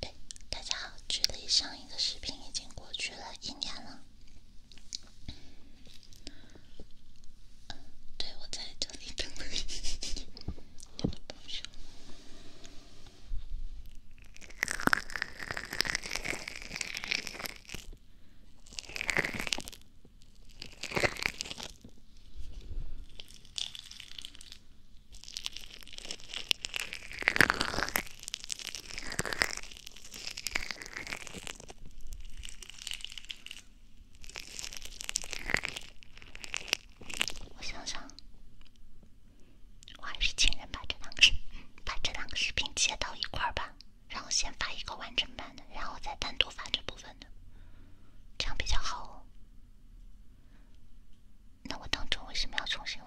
对，大家好，距离上一个视频已经过去了一年了。对，我在这里等你。我想想，我还是请人把这两个视、把这两个视频接到一块儿吧，然后先发一个完整版的，然后再单独发这部分的，这样比较好。那我当初为什么要重新录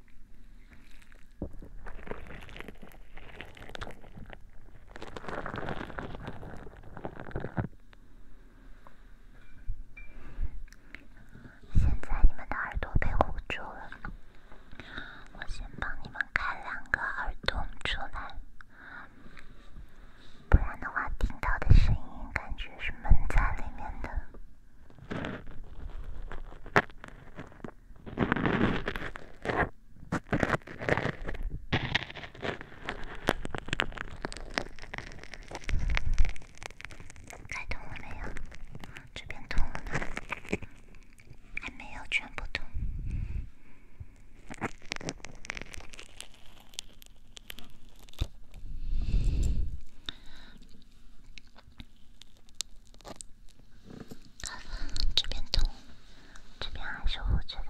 现在你们的耳朵被捂住了，我先帮你们开两个耳朵出来，不然的话听到的声音感觉是闷在里面的。开通了没有？这边通了，呢，还没有全部通。这边痛，这边还是我觉得。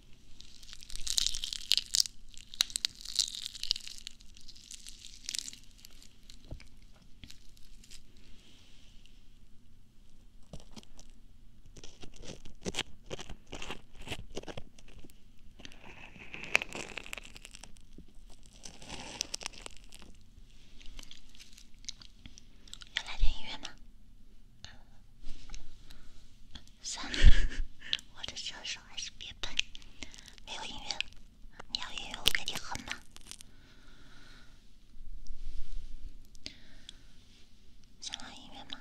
要来点音乐吗？算了，我的小手还是别碰。没有音乐，你要音乐我给你哼吗？想要音乐吗？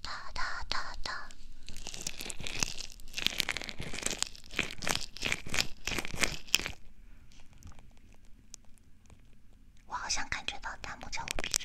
哒哒哒哒，我好像感觉到弹幕叫我闭嘴。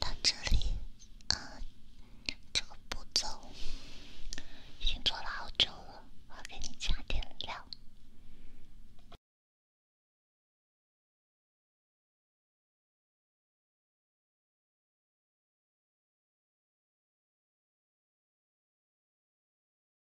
到这里，啊，这个步骤已经做了好久了，我给你加点料。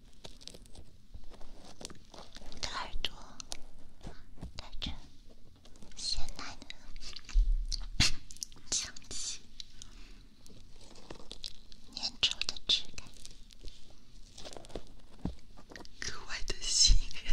你的耳朵带着咸奶的香气，粘稠的质感，格外的吸引人。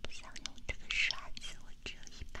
不想用这个刷子，我只有一把。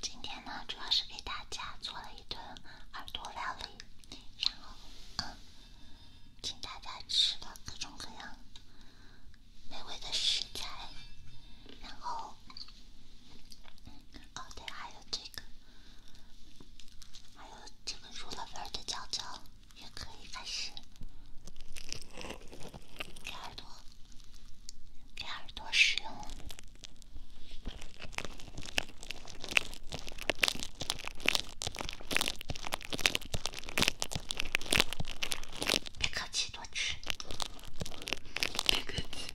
今天呢，主要是给大家做了一顿耳朵料理，然后，请大家吃了各种各样美味的食材，然后，哦对，还有这个，还有这个卤肉味的饺子。也可以开始给耳朵给耳朵使用，别客气，多吃，别客气。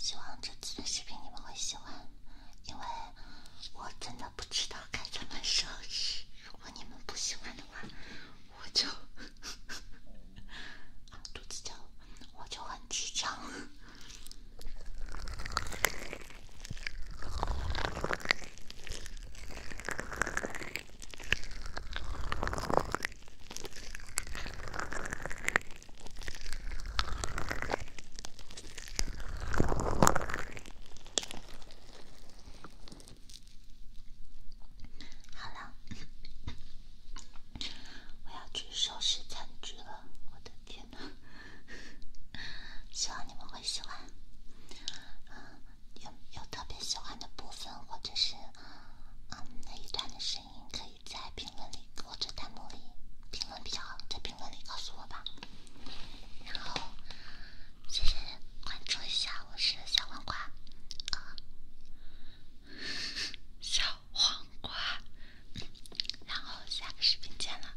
希望这次的视频你们会喜欢。因为我真的不知道该怎么收拾，如果你们不喜欢的话，我就，肚子就，我就很紧张。好了，我要去收拾餐具了。我的天哪，希望你们会喜欢。啊，有有特别喜欢的部分，或者是嗯那一段的声音，可以。在评论里或者弹幕里评论比较好，在评论里告诉我吧。然后，谢谢关注一下，我是小黄瓜，小黄瓜。然后下个视频见了，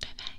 拜拜。